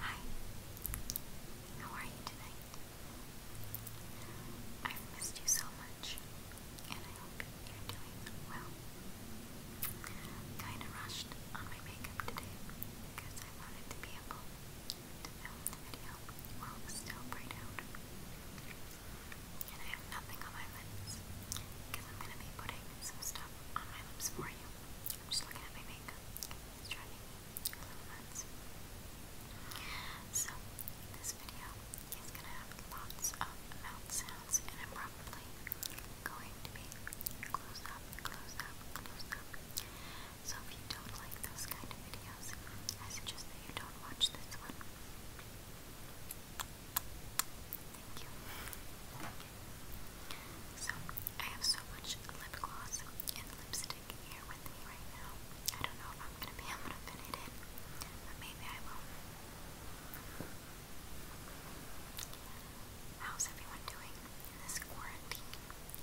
Hi, how are you tonight? I've missed you so much, and I hope you're doing well. Kinda rushed on my makeup today because I wanted to be able to film the video while still bright And I have nothing on my lips because I'm gonna be putting some stuff on my lips for you. I'm just looking at my makeup. So, this video is going to have lots of mouth sounds, and I'm probably going to be close up, close up, close up. So, if you don't like those kind of videos, I suggest that you don't watch this one. Thank you. So, I have so much lip gloss and lipstick here with me right now. I don't know if I'm going to be able to fit it but maybe I will. How's everyone doing in this quarantine?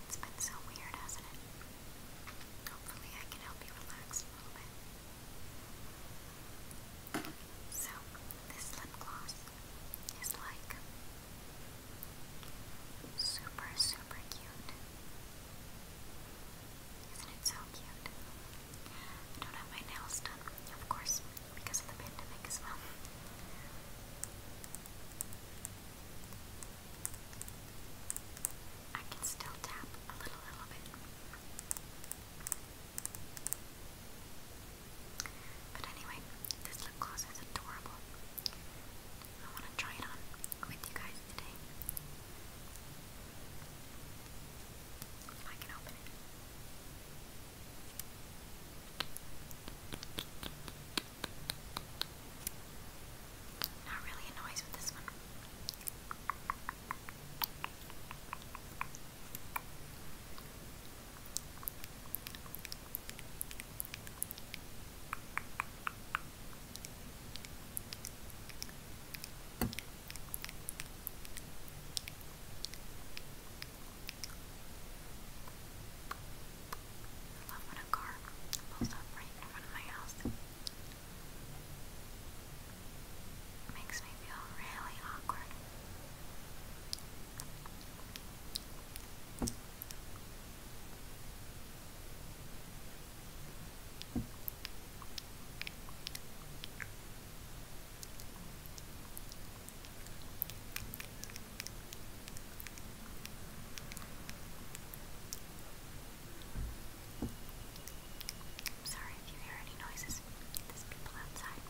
It's been so weird, hasn't it? Hopefully, I can help you relax a little bit. So, this lip gloss is like Super, super cute. Isn't it so cute? I don't have my nails done, of course, because of the pandemic as well. I can still tap a little, little bit. But anyway, this lip gloss is adorable. I want to try it on with you guys today. If I can open it. Not really a noise with this one. I love when a car pulls up right in front of my house. It makes me feel really awkward. I'm sorry if you hear any noises. There's people outside.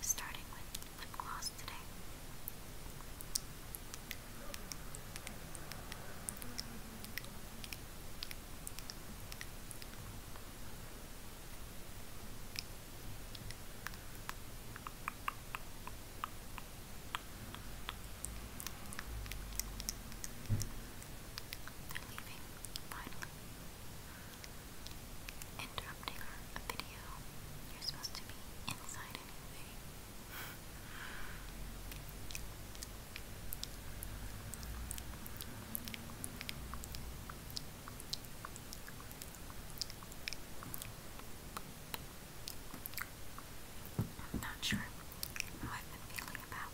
Starting with lip gloss today. Now they Interrupting our video. You're supposed to be inside anyway. Thank I'm not sure how I've been feeling about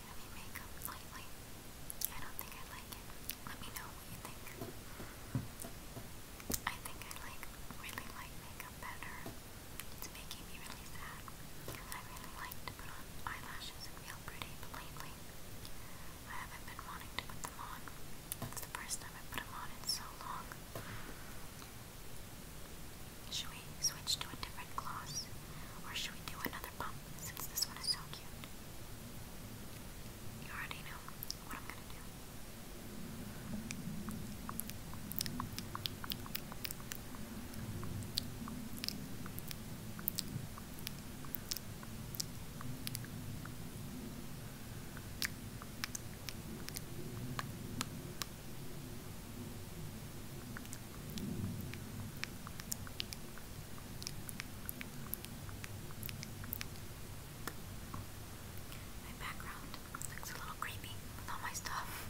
heavy makeup lately. I don't think I like it. Let me know what you think. I think I like really light makeup better. It's making me really sad. I really like to on eyelashes and feel pretty, but lately I haven't been wanting to put them on. It's the first time I put them on in so long. Should we switch to a different gloss? Or should we do another pump since this one is so cute? You already know what I'm gonna do. My background looks a little creepy with all my stuff.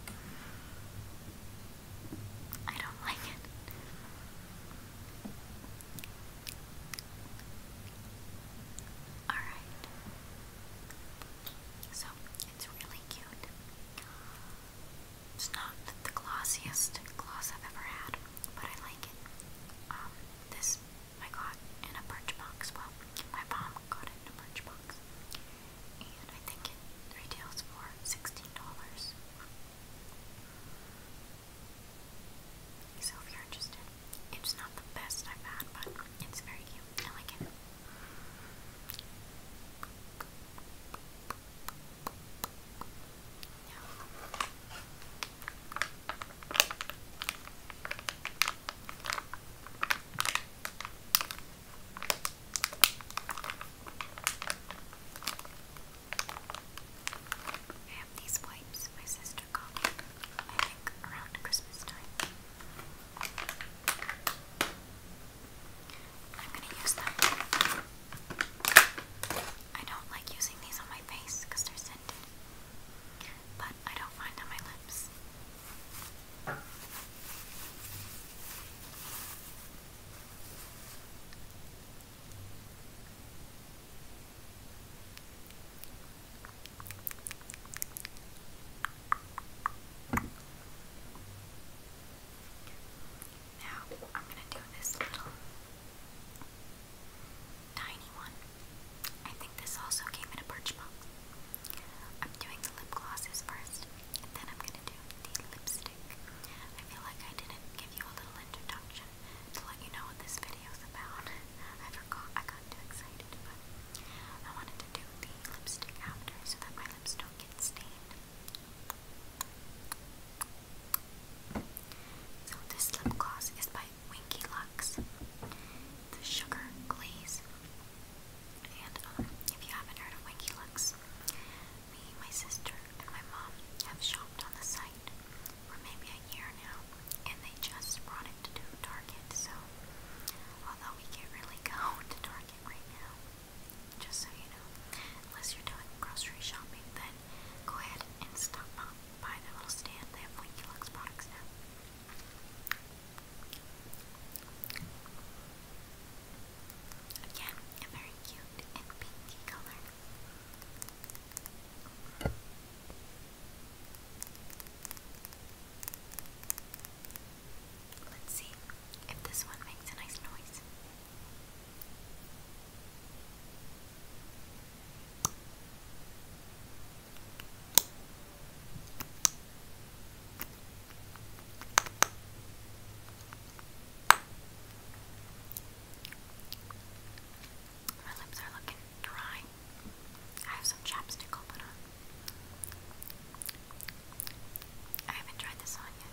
I don't like it. Alright. So it's really cute. It's not the glossiest gloss I've ever had, but I like it. Um, this I got in a birch Well, my mom got it in a birch And I think it retails for $16. So if you're interested, it's not the best I've had, but it's very cute. I like it. I have these wipes my sister got, I think, around Christmas time. I'm going to use them. I don't like using these on my face because they're scented, but I don't mind on my lips. Now I'm going to do this little tiny one. I think this also came in a birch box. I'm doing the lip glosses first, and then I'm going to do the lipstick. I feel like I didn't give you a little introduction to let you know what this video is about. I forgot, I got too excited, but I wanted to do the lipstick after so that my lips don't get stained. So this lip gloss is by Winky Lux. The sugar glaze. And um, if you haven't heard of Winky Lux, me, my sister, and my mom have shopped on the site for maybe a year now, and they just brought it to Target, so Although we can't really go to Target right now, just so you know. Unless you're doing grocery shopping, then go ahead and stop by their little stand. They have Winky Lux products now. Again, very cute and pinky color. Let's see if this one makes a nice noise. My lips are looking dry. I have some chapstick I'll put on. I haven't tried this on yet.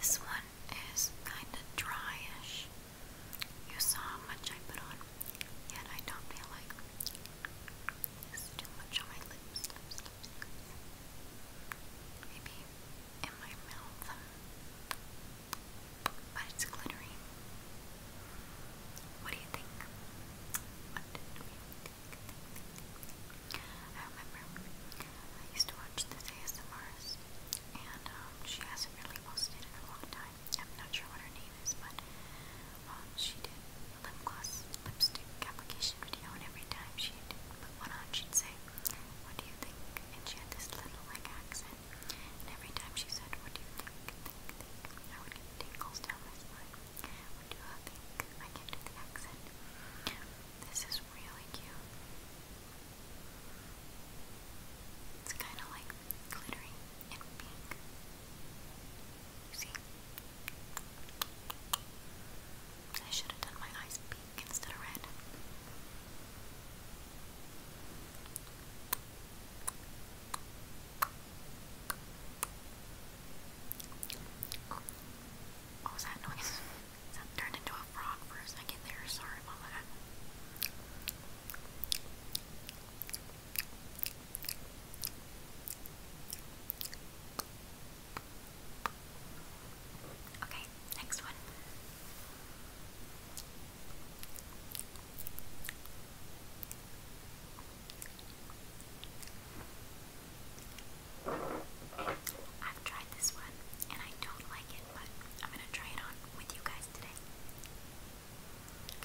This one is kind of dryish. You saw how much I put on, yet I don't feel like there's too much on my lips. Maybe in my mouth, but it's glittering. What do you think? What do you think? I remember I used to watch this ASMRs, and um, she hasn't really posted in a long time. I'm not sure what her name is, but um, she did a lip gloss lipstick application video, and every time she did put one on, she'd say, What do you think? And she had this little like accent. And every time she said, What do you think? Think, think, I would get tingles down my spine. What do I think? I can't do the accent. This is really cute. It's kind of like glittery and pink. You see? I should have done my eyes pink instead of red. Oh, what was that noise? turned into a frog for a second there. Sorry about that. Okay, next one. I've tried this one and I don't like it, but I'm gonna try it on with you guys today.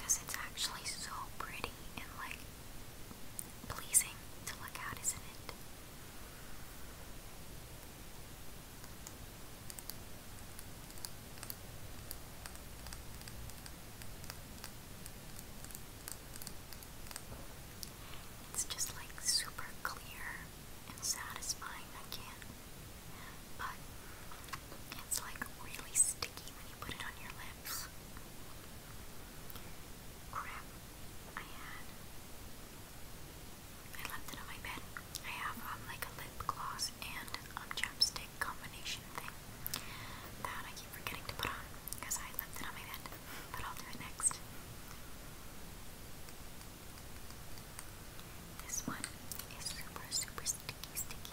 it's actually so pretty and like pleasing to look at, isn't it? It's just like super clear and satisfying, I But it's like really sticky when you put it on your lips. Crap, I had I left it on my bed. I have um, like a lip gloss and um chapstick combination thing that I keep forgetting to put on because I left it on my bed. But I'll do it next. This one is super, super sticky, sticky.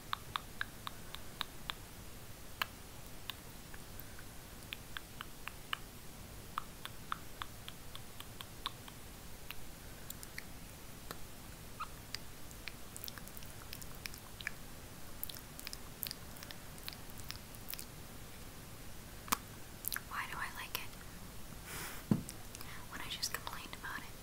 Why do I like it? When I just complained about it.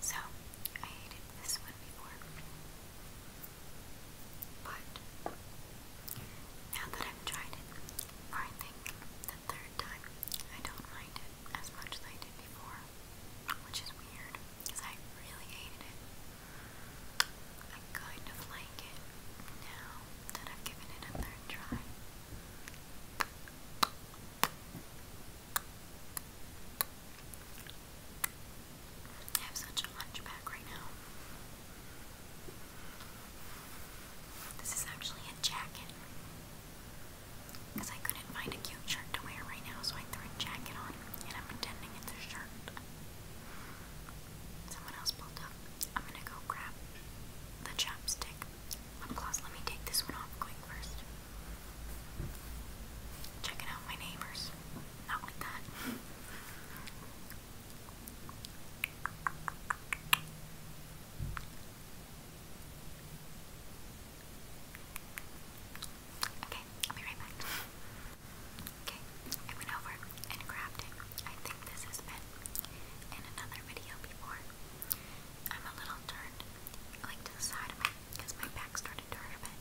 So, I hated this one before. But, now that I've tried it, or I think the third time, I don't mind it as much as I did before. Which is weird, because I really hated it. I kind of like it now that I've given it a try. I have such a hunchback right now. This is actually a jacket. Because I couldn't find a cute shirt to wear right now, so I threw a jacket on and I'm pretending it's a shirt. Someone else pulled up. I'm gonna go grab the chopstick um, let me take this one off quick first. Checking out my neighbors. Not like that. Okay, I'll be right back. Okay, I went over and grabbed it. I think this has been in another video before. I'm a little turned, like to the side of me, because my back started to hurt a bit.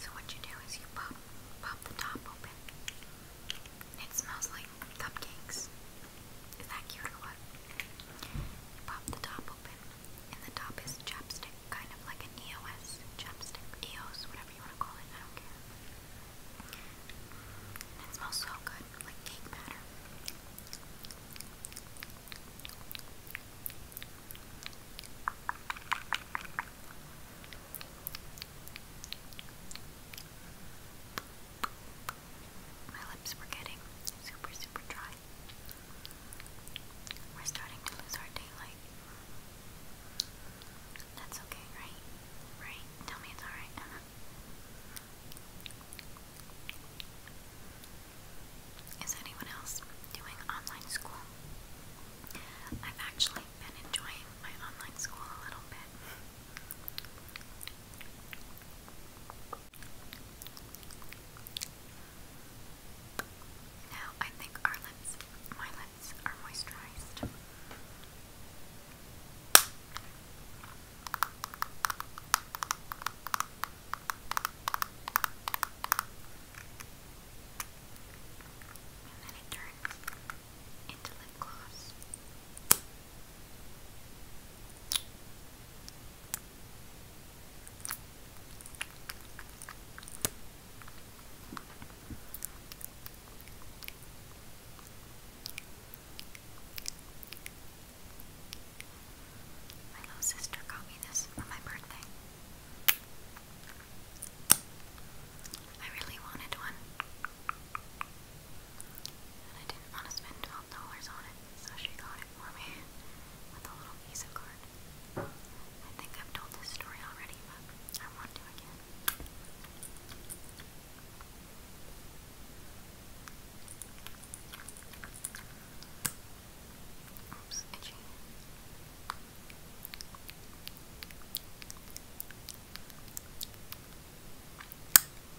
So what you do is you pop pop the top open. It smells like cupcakes. Is that cute or what? pop the top open, and the top is chapstick, kind of like an EOS chapstick, EOS, whatever you want to call it. I don't care. it smells so good, like cake batter. My lips were getting super, super dry. We're starting to lose our daylight. That's okay, right? Right? Tell me it's alright, uh-huh. Is anyone else doing online school? I've actually been enjoying my online school a little bit. Now I think our lips, my lips, are moisturized. And then My little sister got me this for my birthday. I really wanted one. And I didn't want to spend $12 on it, so she got it for me with a little Visa card. I think I've told this story already, but I want to again. Oops, itchy.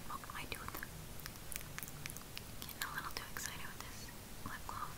Poked my Getting a little too excited with this lip gloss.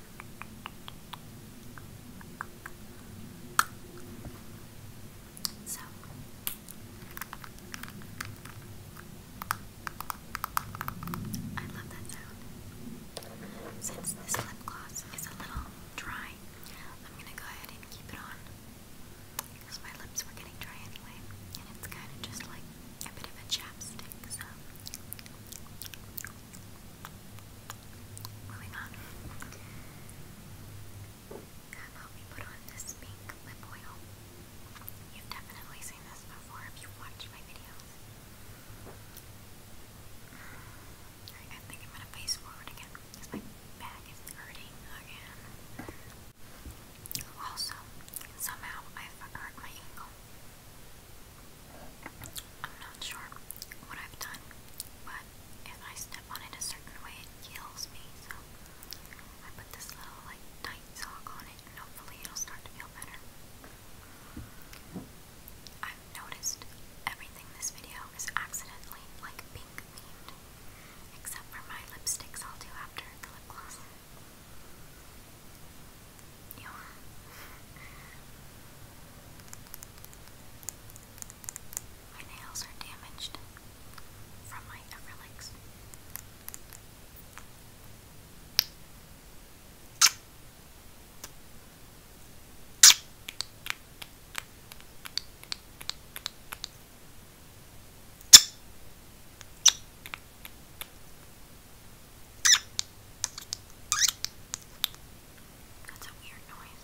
So I love that sound. Since this lip gloss is a little dry, I'm gonna go ahead and keep it on because my lips were getting dry anyway, and it's kind of just like a bit of a chapstick, so Moving on. How about we put on this pink lip oil? You've definitely seen this before if you've my videos. I think I'm gonna face forward again my back is hurting again. Also, somehow i hurt my ankle. I'm not sure what I've done, but if I step on it a certain way, it kills me. So I put this little like tight sock on it, and hopefully it'll start to feel better. i noticed everything this video is accidentally like pink themed, except for my lipsticks I'll do after lip gloss. Yeah. My nails are damaged from my acrylics. That's a weird noise.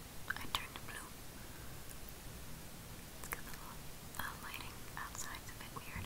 I turned blue. Because the uh, lighting outside's a bit weird.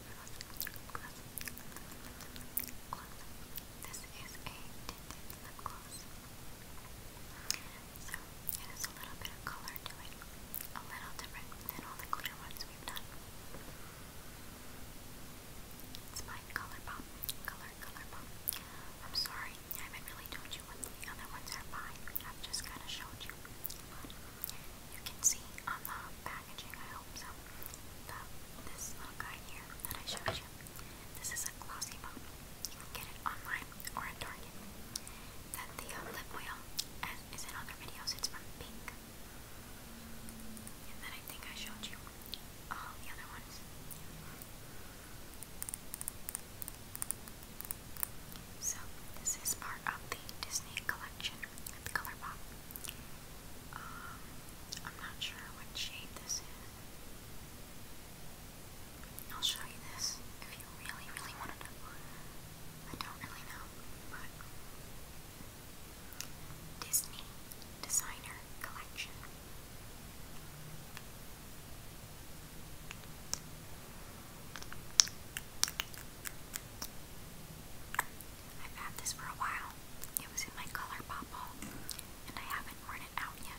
This is a tinted lip gloss. So it has a little bit of color to it. A little different than all the glitter ones we've done. It's by Colourpop. Color, Colourpop. I'm sorry, I haven't really told you what the other ones are by. I've just kind of showed you. you can see on the back packaging, I hope so. this little guy here that I showed you. This is a glossy bomb. You can get it online or at Target. Then the lip oil, is in other videos, it's from Pink. And then I think I showed you all the other ones. So, this is part of the Disney collection the color pop. Um, I'm not sure what shade this is. I'll show you this if you really, really want to I don't really know, but Disney Designer Collection. I've had this for a while. It was in my color pop ball, and I haven't worn it out yet.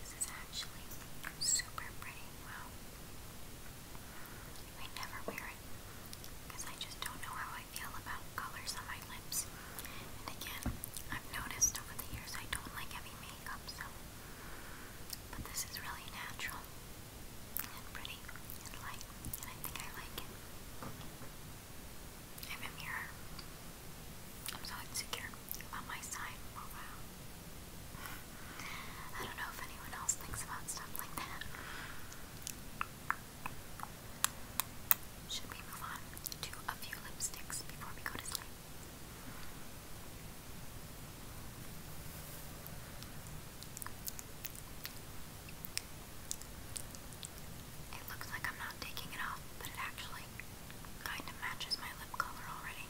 This is actually super pretty. Wow. I never wear it because I just don't know how I feel about colors on my lips. And again, I've noticed over the years I don't like heavy makeup, so. But this is really natural and pretty and light, and I think I like it. I have a I'm so insecure about my side profile. I don't know if anyone else thinks about stuff like that. Should we move on to a few lipsticks before we go to sleep? It looks like I'm not taking it off, but it actually kind of matches my lip color already.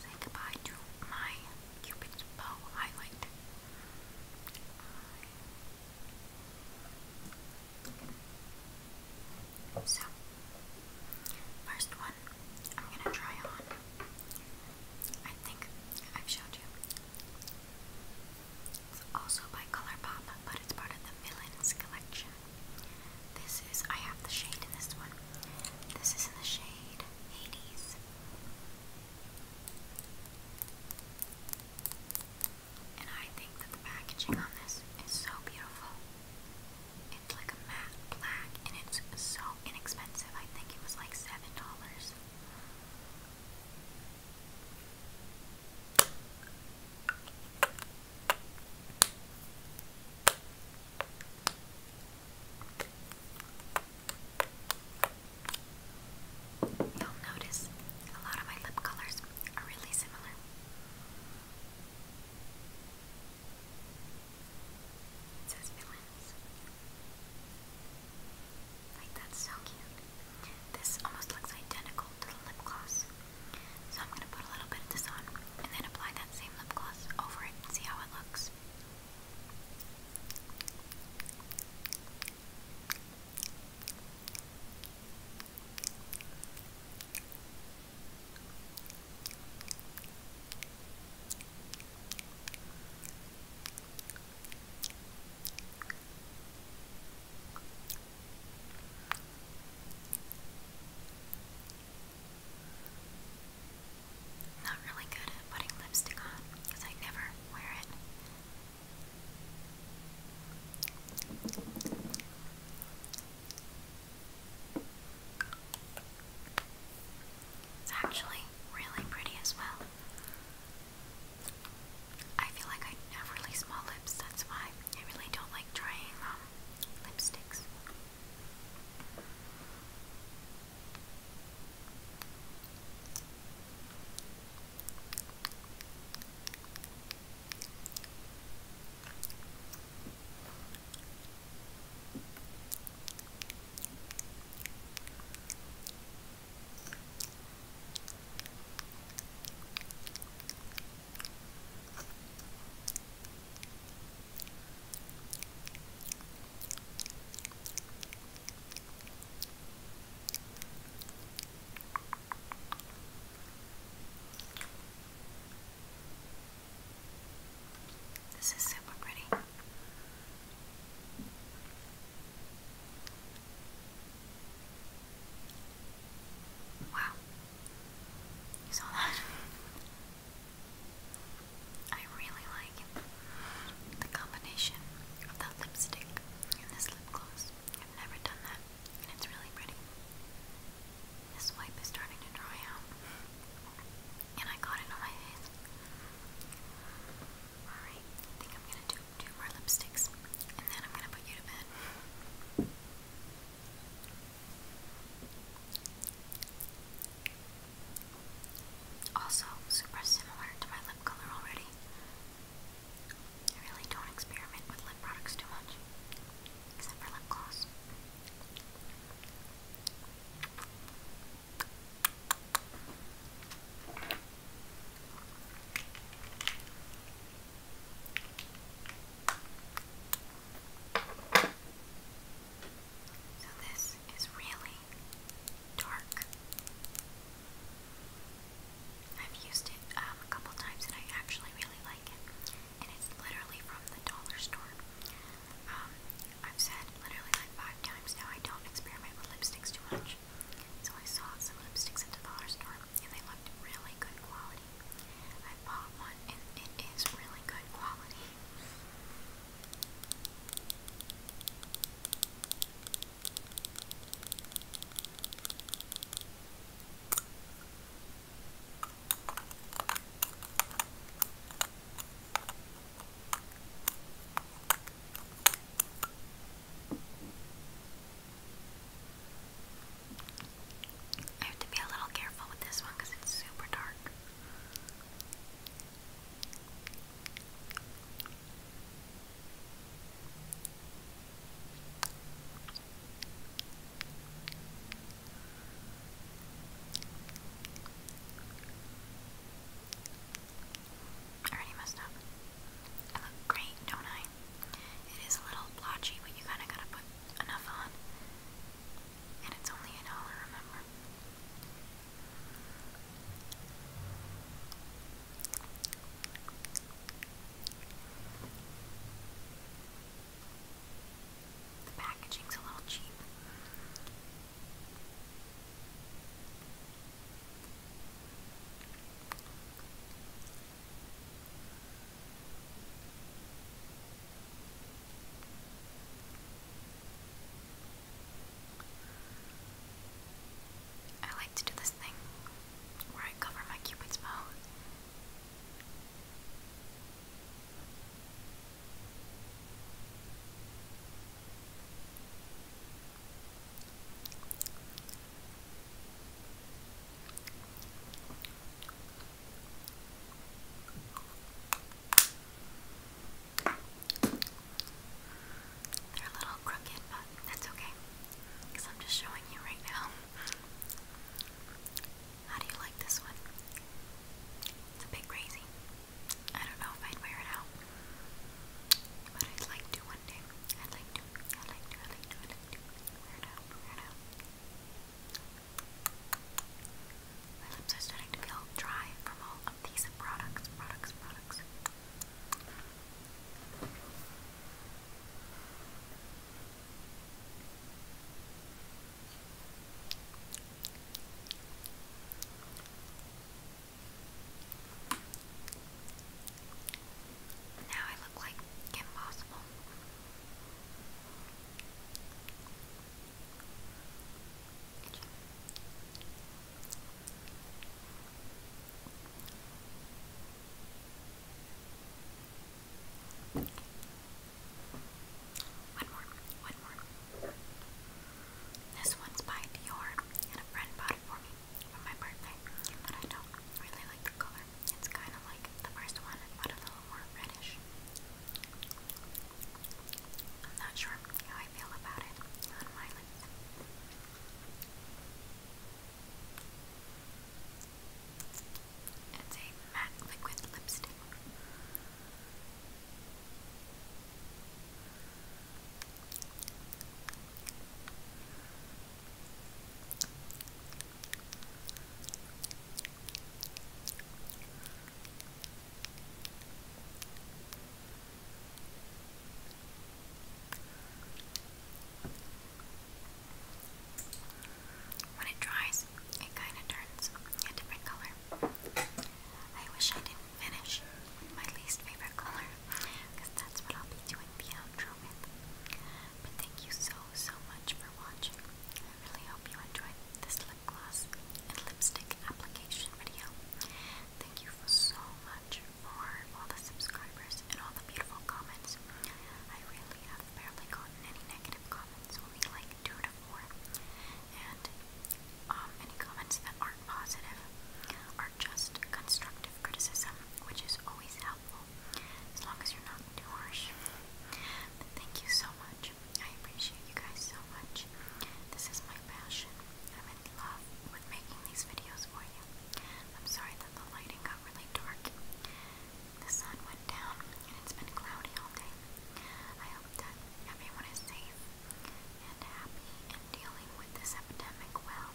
Say goodbye to my Cupid's Bow highlight. So, first one I'm gonna try on. I think I've showed you. It's also by Colourpop, but it's part of the Villains collection. This is, I have the shade in this one. This is in the shade Hades. And I think that the packaging on this is so beautiful. It's like a matte black and it's so inexpensive. I think it was like $7. You'll notice a lot of my lip colors are really similar. It says villains that's so cute. This almost looks identical to the lip gloss. So I'm going to put a little bit of this on and then apply that same lip gloss over it and see how it looks. Not really good at putting lipstick on because I never wear it. It's actually really pretty as well. I feel like I have really small lips, that's why I really don't like trying um, lipsticks. This is super pretty. Wow. You saw that? I really like the combination of that lipstick and this lip gloss. I've never done that, and it's really pretty. This wipe is starting to dry out, and I got it on my face. Alright, I think I'm gonna do two more lipsticks and then I'm gonna put you to bed. Also, super similar to my lip color already. I really don't experiment with lip products too much, except for lip gloss. So this is really dark. I've used it um, a couple times and I actually really like it. And it's literally from the dollar store. Um, I've said literally like five times now I don't experiment with lipsticks too much. So I saw some lipsticks at the dollar store and they looked really good quality. I bought one and it is really good quality. I have to be a little careful with this one because it's super dark. I already messed up. I look great, don't I? It is a little blotchy, but you kinda gotta put enough on. And it's only a dollar, remember? The packaging's a little cheap. I like to do this thing where I cover my cupid's bow. They're a little crooked, but that's okay because I'm just showing you right now. How do you like this one? It's a bit crazy. I don't know if I'd wear it out, but I'd like to one day. I'd like to I like My lips are starting to feel dry from all of these products, products, products. Now I look like impossible. One more, one more. This one's by Dior, and a friend bought it for me my birthday, but I don't really like the color. It's kind of like the first one, but a little more reddish. I'm not sure how I feel about it It's a matte liquid lipstick. When it dries, it kind of turns a different color. I wish I didn't finish my least favorite color because that's what I'll be doing the outro but thank you so, so much for watching. I really hope you enjoyed this lip gloss and lipstick application video. Thank you so much for all the subscribers and all the beautiful comments. I really have barely gotten any negative comments, only like two to four. And um, any comments that aren't positive are just constructive criticism, which is always helpful as long as you're not too harsh. thank you so much. I appreciate you guys so much. This is my passion. I'm in love with making these videos for you. I'm sorry that the lighting got really dark. The sun went down and it's been cloudy all day. I hope that everyone is safe and happy and dealing with this epidemic well.